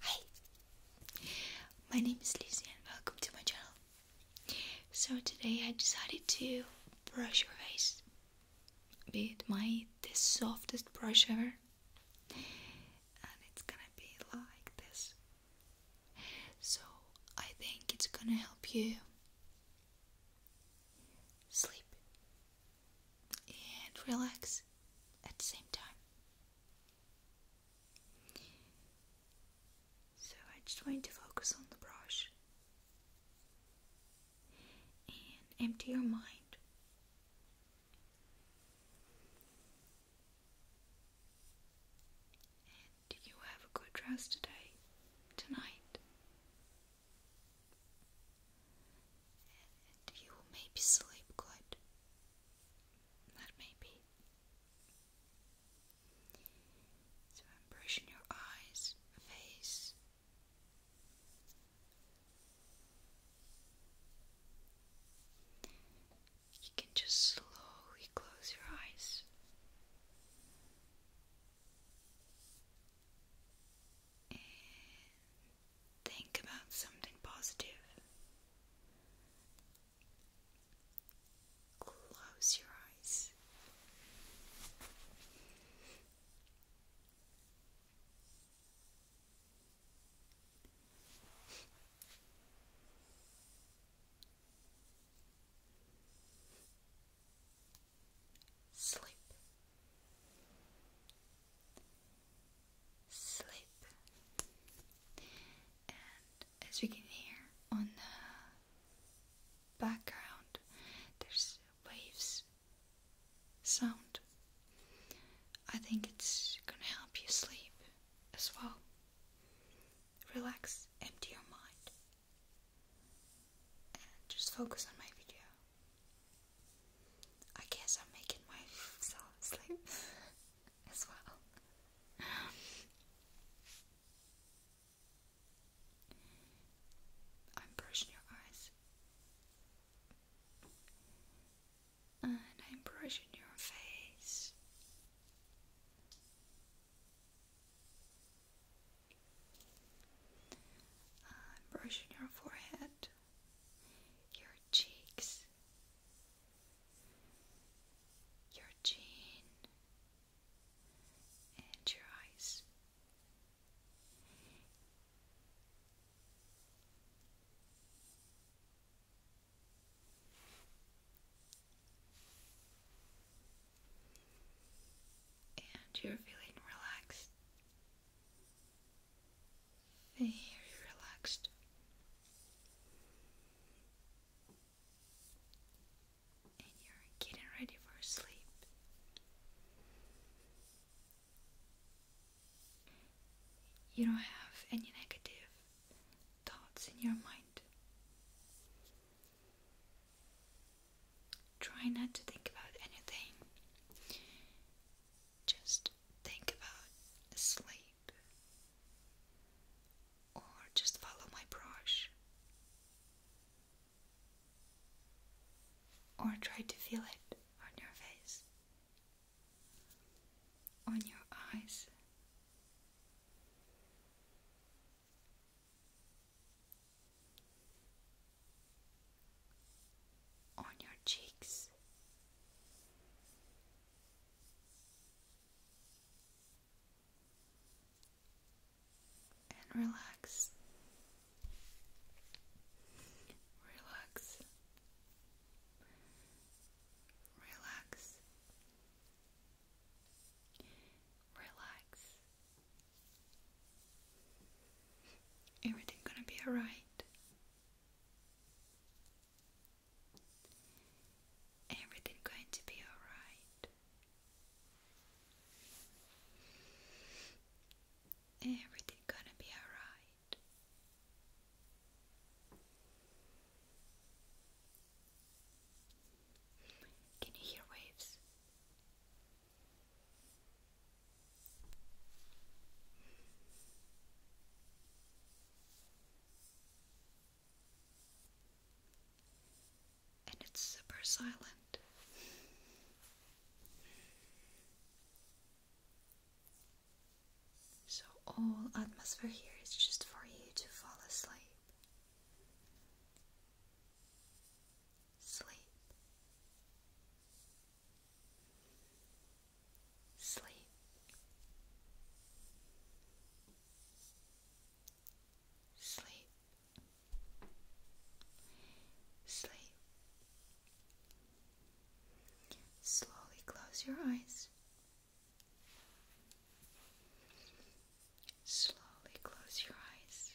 Hi, my name is Lizzie, and welcome to my channel. So today I decided to brush your face with my the softest brush ever and it's gonna be like this. So I think it's gonna help you sleep and relax at the same time. So I just want to focus on the brush and empty your mind. And you have a good rest today, tonight. And you will maybe sleep good. That may So I'm brushing your eyes, face, you can just slowly close your eyes. And think about something positive. Close your eyes. Sleep. Sleep. And as you can hear on the background, there's waves sound. I think it's gonna help you sleep as well. Relax, empty your mind, and just focus on my video. I guess I'm making myself sleep as well. I'm brushing your eyes and I'm brushing your face. I'm brushing your forehead, your cheeks, your chin, and your eyes and you're feeling relaxed. Very relaxed. And you're getting ready for sleep. You don't have any negative thoughts in your mind. Try not to think about anything, just think about sleep or just follow my brush. Or try to feel it on your face on your eyes. On your cheeks, and relax, relax, relax, relax. Everything gonna be alright. Everything going to be alright. Everything gonna be alright. Can you hear waves? And it's super silent. So, all atmosphere here is just for you to fall asleep. Sleep. Sleep. Sleep. Sleep. Slowly close your eyes Slowly close your eyes.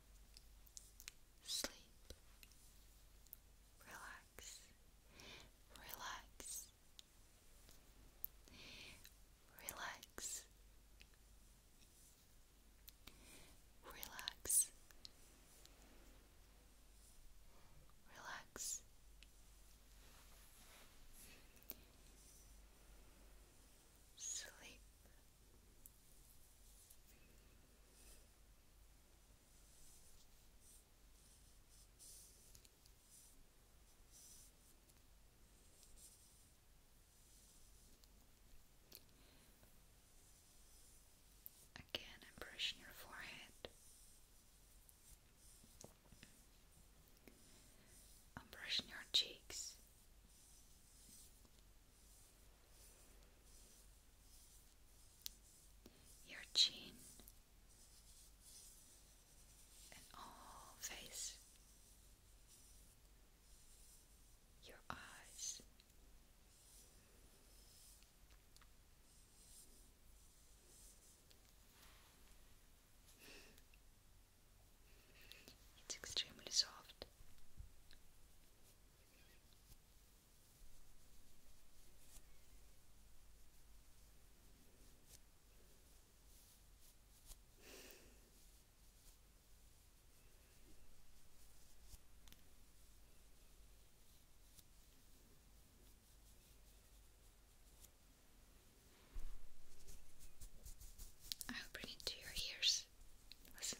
sleep, relax, relax, relax, relax, relax. Sleep, Again, I'm brushing your forehead. I'm brushing your cheeks your chin, and all face, your eyes. It's extremely soft. I'll bring it to your ears. Listen.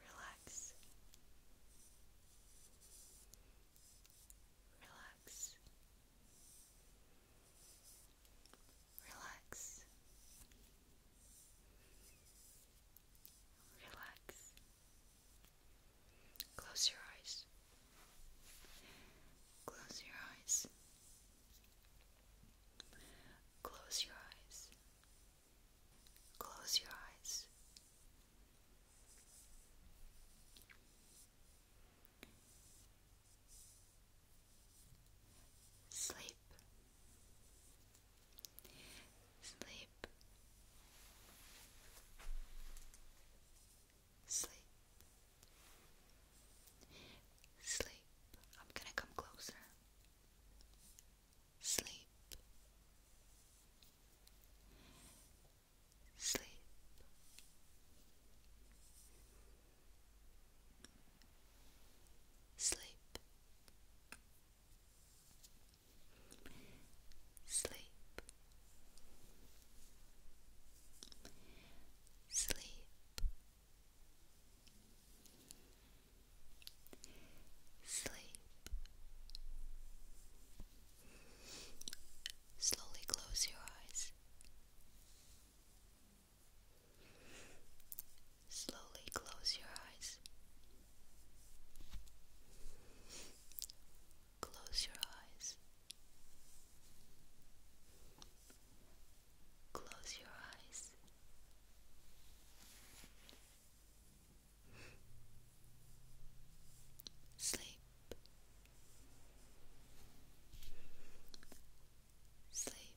Relax. Relax. Relax. Relax. Close your eyes. Close your eyes. Close your eyes. Close your eyes. Sleep. Sleep. Sleep. Sleep. I'm gonna come closer. Sleep. Sleep. Sleep. Sleep. Sleep. Sleep. Slowly close your eyes. Slowly close your eyes. Close your eyes. Close your eyes. Sleep. Sleep. Sleep.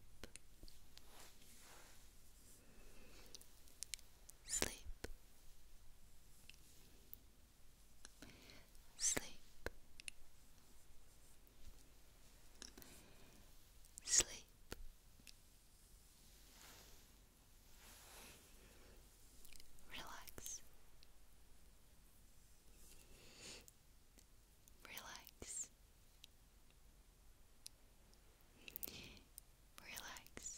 Sleep. Sleep. Relax. Relax. Relax.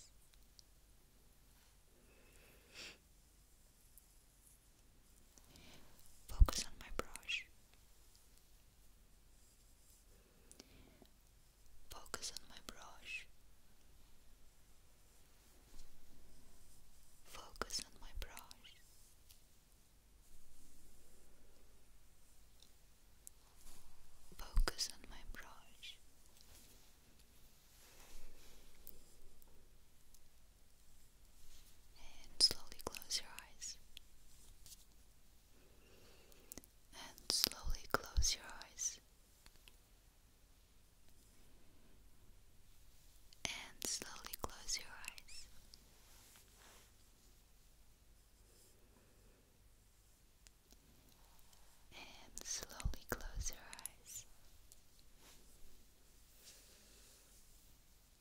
Focus on my brush. Focus on my brush. Focus on my brush. Focus on my brush and slowly close your eyes. And slowly close your eyes. And slowly close your eyes. And slowly close your eyes.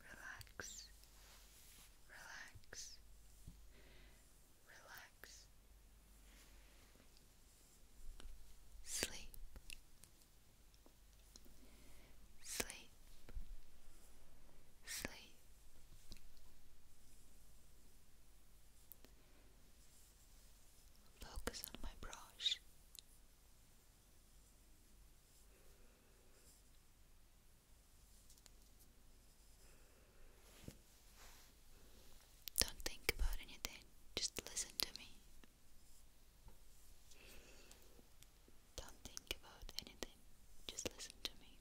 relax, relax, relax. Sleep, sleep, sleep. Focus on my brush. Don't think about anything, just listen to me. Don't think about anything, just listen to me.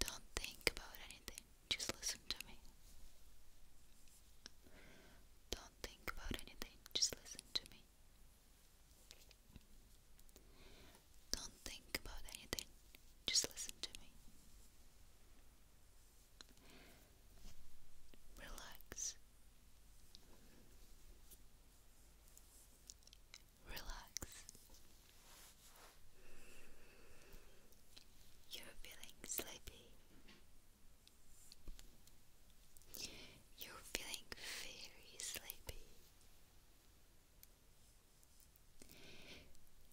Don't think about anything, just listen to me. Don't think about anything, just listen to me. Don't think about anything, just listen to me. Relax. Relax. You're feeling sleepy. You're feeling very sleepy.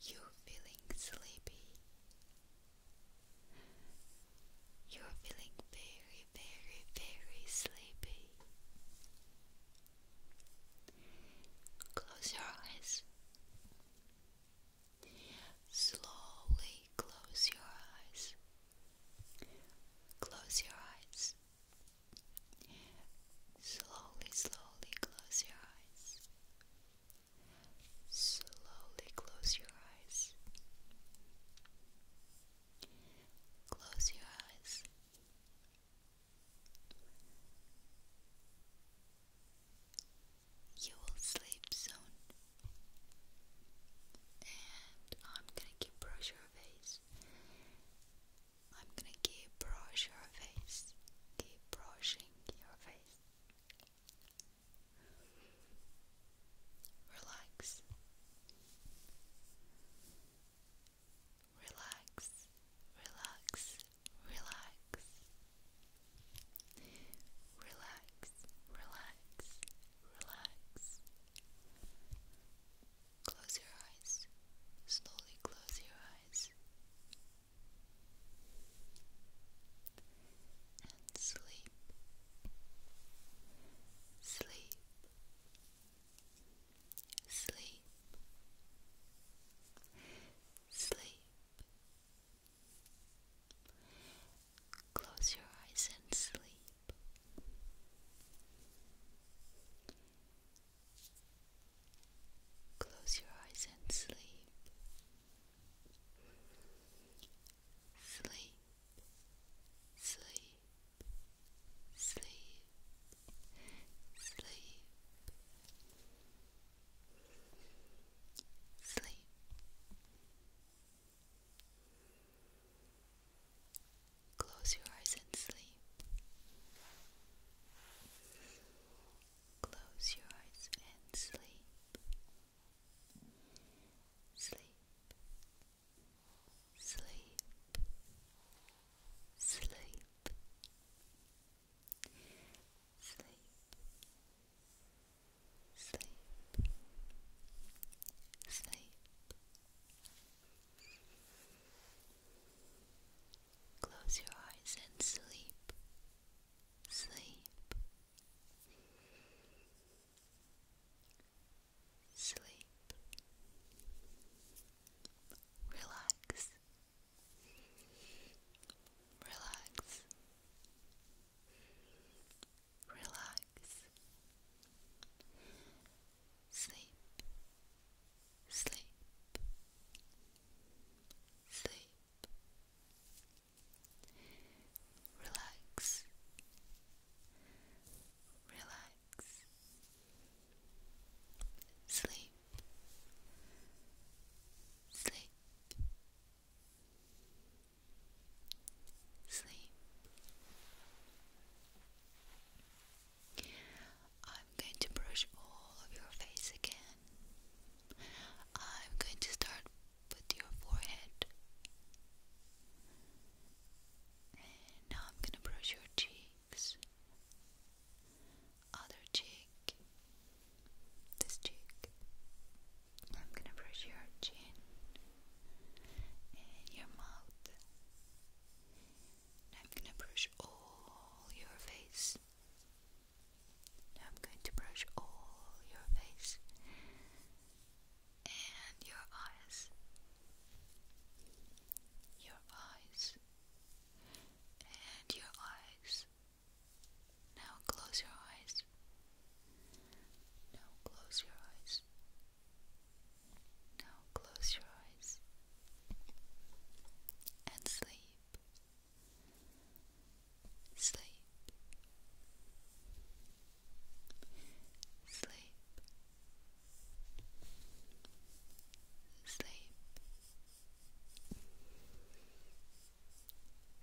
You're feeling sleepy. You're feeling very, very, very sleepy. Close your eyes. Slowly close your eyes. Close your eyes. Slowly, slowly close your eyes. Slowly close your eyes. Close your eyes. You will sleep soon and I'm gonna keep brush your face. I'm gonna keep brush your face. Keep brushing your face. Relax. Relax. Relax. Relax. Relax. Relax relax. Close your eyes. Slowly close your eyes. And sleep. Sleep. Sleep. Sleep. Close your eyes and sleep. Close your eyes and sleep. Sleep, sleep, sleep, sleep, sleep. Close your eyes and sleep. Close your eyes and sleep. Sleep. Sleep. Sleep. Sleep sleep, sleep. Close your eyes and sleep, sleep, sleep. Relax, relax relax, sleep, sleep, sleep, relax, relax, sleep, sleep. Sleep, sleep. I'm going to brush all of your face again. I'm going to start with your forehead. now I'm going to brush your cheeks. Other cheek. This cheek. I'm going to brush your chin in your mouth. I'm gonna brush all your face. I'm going to brush all your face and your eyes. Your eyes and your eyes. Now close your eyes. Now close your eyes. Now close your eyes and sleep. Sleep. Sleep. Sleep.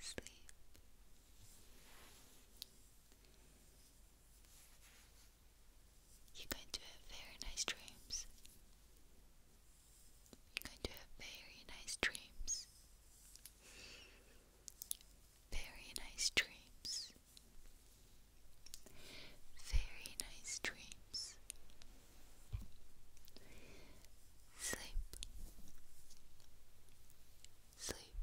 Sleep. You're going to have very nice dreams. You're going to have very nice dreams. Very nice dreams. Very nice dreams. Sleep. Sleep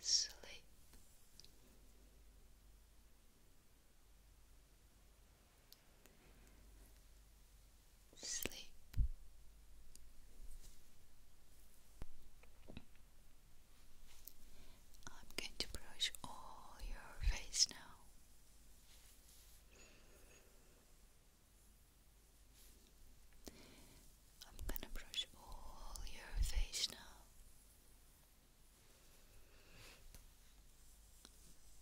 sleep. Sleep. I'm going to brush all your face now. I'm gonna brush all your face now.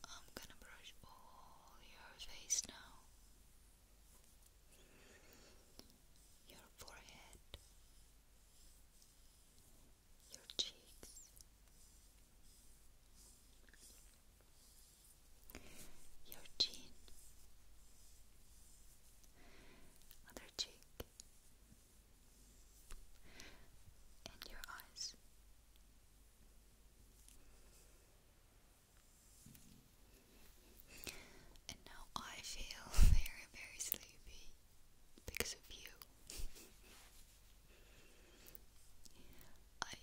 I'm gonna brush all your face now. Your forehead, your cheeks, your chin, other cheek, and your eyes. And now I feel very, very sleepy because of you.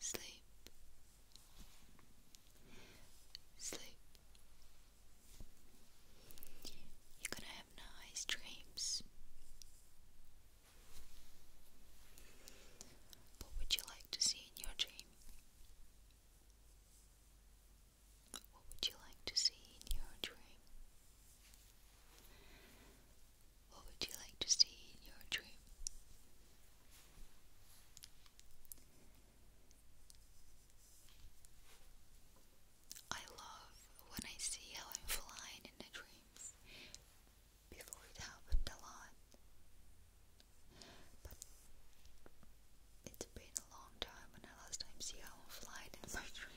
Sleep, sleep. You're gonna have nice dreams. What would you like to see in your dream? What would you like to see in your dream? What would you like to see in your dream? I love when I see how I'm flying in the dreams before it happened a lot. But it's been a long time and I last time see how I'm flying in my dreams.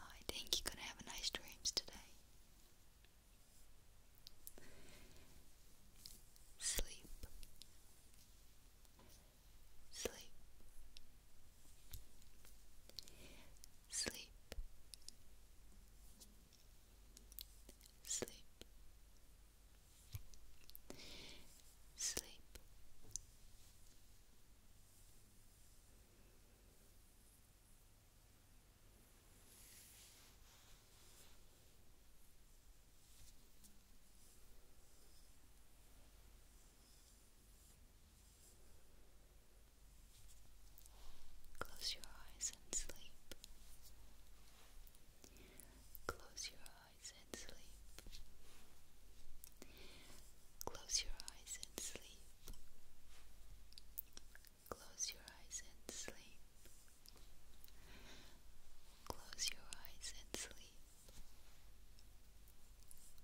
I think you're gonna have nice dreams today. Sleep. Sleep. Sleep. Sleep. Sleep. Close your eyes and sleep. Close your eyes and sleep. Close your eyes and sleep sleep. Close your eyes and sleep. Close your eyes and sleep.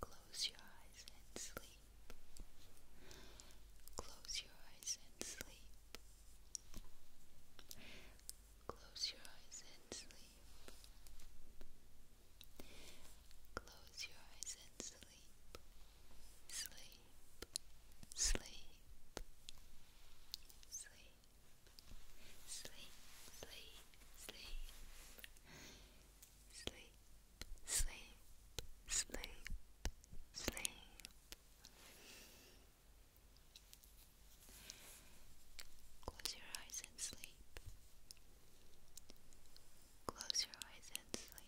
Close your eyes and sleep. Close your eyes and sleep. Close your eyes and sleep. Close your eyes and sleep sleep, sleep, sleep, sleep, sleep, sleep, sleep, sleep, sleep, sleep, sleep. Close your eyes and sleep. Close your eyes and sleep.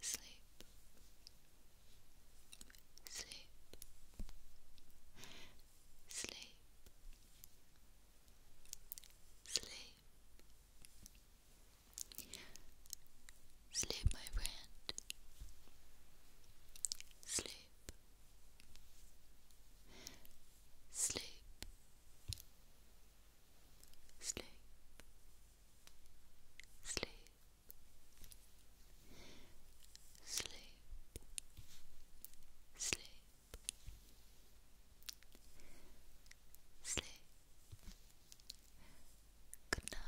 Sleep, sleep, sleep, sleep, sleep, my friend, sleep, sleep, sleep, sleep, sleep, sleep, sleep. Good night.